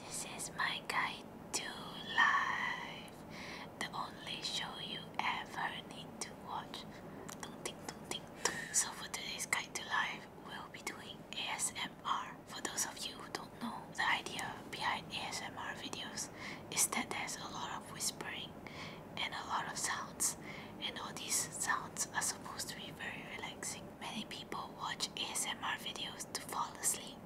This is my guide to life. The only show you ever need to watch. So for today's guide to life, we'll be doing ASMR. For those of you who don't know, the idea behind ASMR videos is that there's a lot of whispering and a lot of sounds, and all these sounds are supposed to be very relaxing. Many people watch ASMR videos to fall asleep.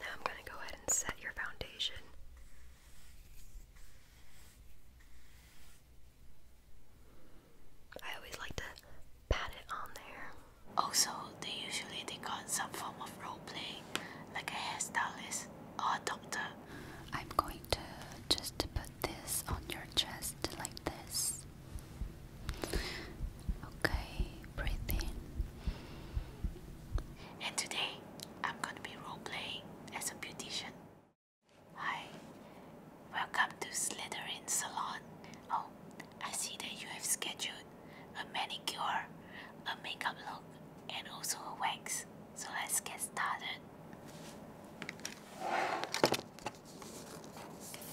Now I'm going to go ahead and set your foundation. I always like to pat it on there. Also, they usually they got some form of role play, like a hairstylist or a doctor. I'm going to just put this on your chest like this. Okay, breathe in. And today I'm gonna be role playing as a beautician. Hi, welcome to Slitherin Salon. Oh, I see that you have scheduled a manicure, a makeup look, and also a wax. So let's get started.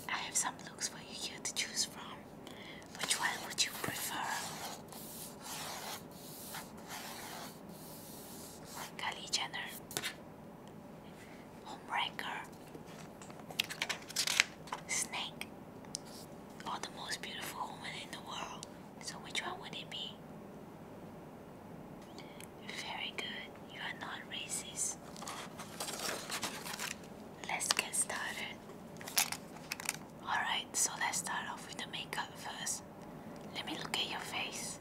I have some looks for you here to choose from. Which one would you prefer? Kylie Jenner, Homebreaker, Snake, or the most beautiful woman in the world. So which one would it be? Very good, you are not racist. Let's get started. Alright, so let's start off with the makeup first. Let me look at your face.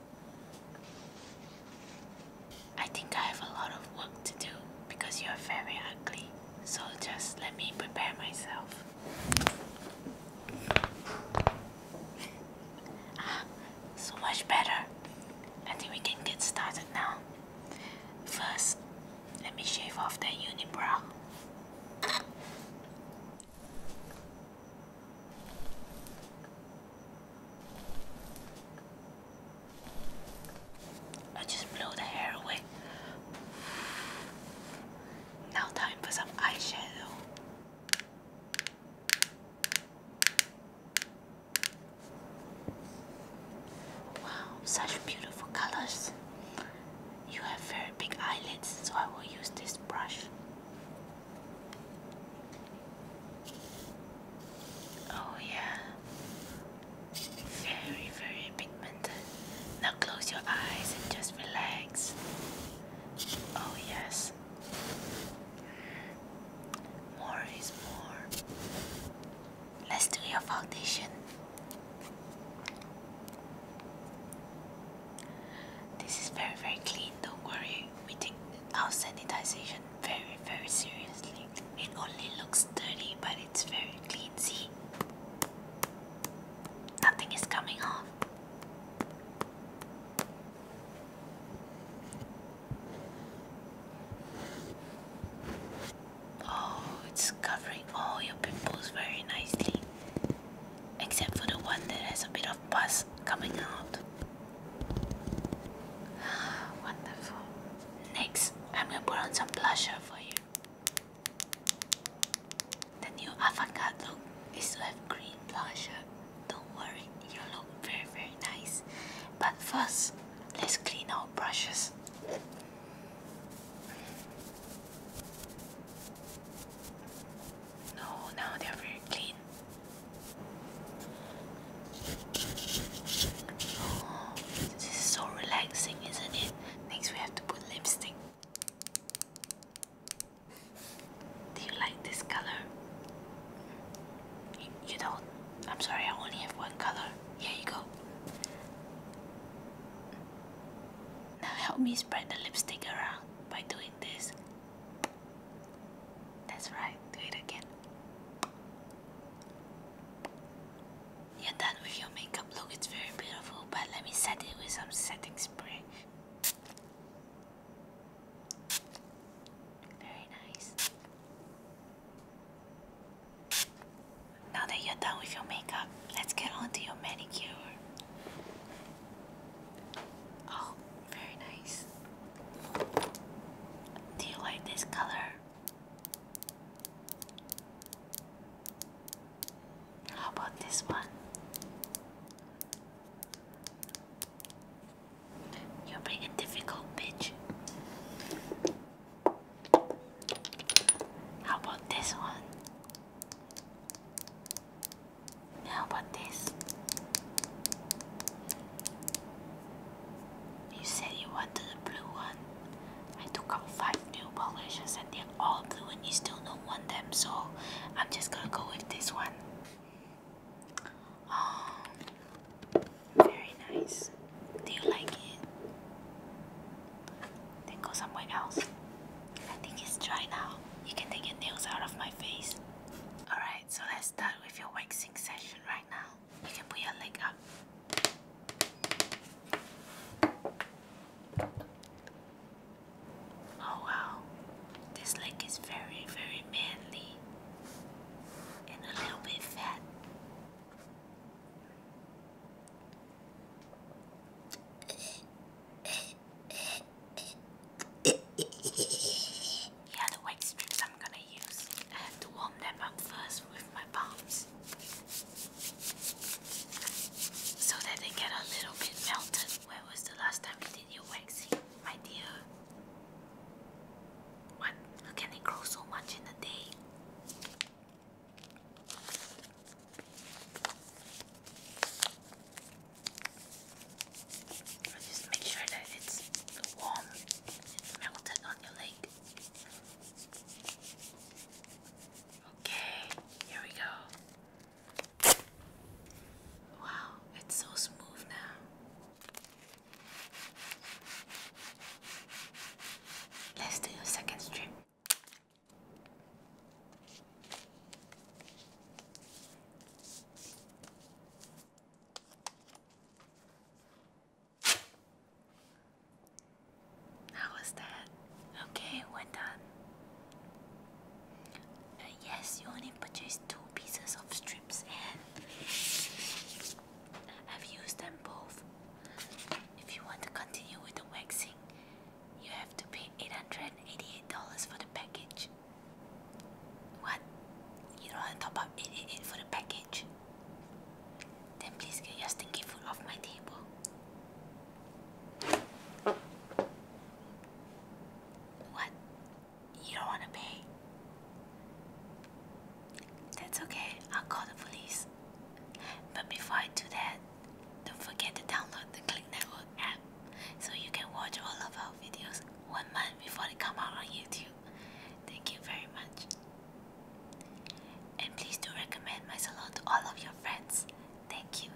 I think I have a lot of work to do because you're very ugly, so just let me prepare myself. so much better. I think we can get started now. First, let me shave off that unibrow. I just blow the hair away. Now time for some eyeshadow. Wow, such beautiful colors. You have very big eyelids, so I will use this brush. Oh, yeah, very, very pigmented. Now close your eyes and just relax. Oh, yes, more is more. Let's do your foundation. This is very very clean, don't worry. We take our sanitization very very seriously. It only looks dirty but it's very clean. See? Nothing is coming off. Oh, it's covering all your pimples very nicely, except for the one that has a bit of pus coming out. Wonderful. Next, I'm gonna put on some blusher for you. The new avant is to green blusher don't worry, you look very very nice. But first, let's clean our brushes. No, now they're very clean. Oh, this is so relaxing, isn't it? Next, we have to put lipstick. Do you like this color? You, don't? I'm sorry, I only have one color. Here you go. Now help me spread the lipstick around by doing this. That's right, do it again. You're done with your makeup look, it's very beautiful, but let me set it with some setting spray. Very nice. Now that you're done with your makeup, let's get on to your manicure. Oh, very nice. Do you like this color? How about this one? You're being a difficult bitch. How about this one? How about this? You said you wanted a blue one. I took out five new polishes and they're all blue and you still don't want them, so I'm just gonna go with this one. Oh, very nice. Do you like it? Then go somewhere else. I think it's dry now. You can take your nails out of my face. Alright, so let's start with your waxing session right now. You can put your leg up. Oh wow, this leg is very, very manly and a little bit fat. yeah, the white strips I'm gonna use. I have to warm them up first with my palms so that they get a little bit melted. Where was the last time we did? continue waxing, my dear. What? How can it grow so much in a day? just make sure that it's warm melted on your leg. Okay, here we go. Wow, it's so smooth now. Let's do a second strip. How was that? Okay, we're done yes, you only purchased two pieces of strips and I've used them both. If you want to continue with the waxing, you have to pay $888 for the package. What? You don't want to top up for the package? Then please get your stinky food off my table. What? you don't want to pay. That's okay, I'll call the police. But before I do that, don't forget to download the Click Network app so you can watch all of our videos one month before they come out on YouTube. Thank you very much. And please do recommend my salon to all of your friends. Thank you.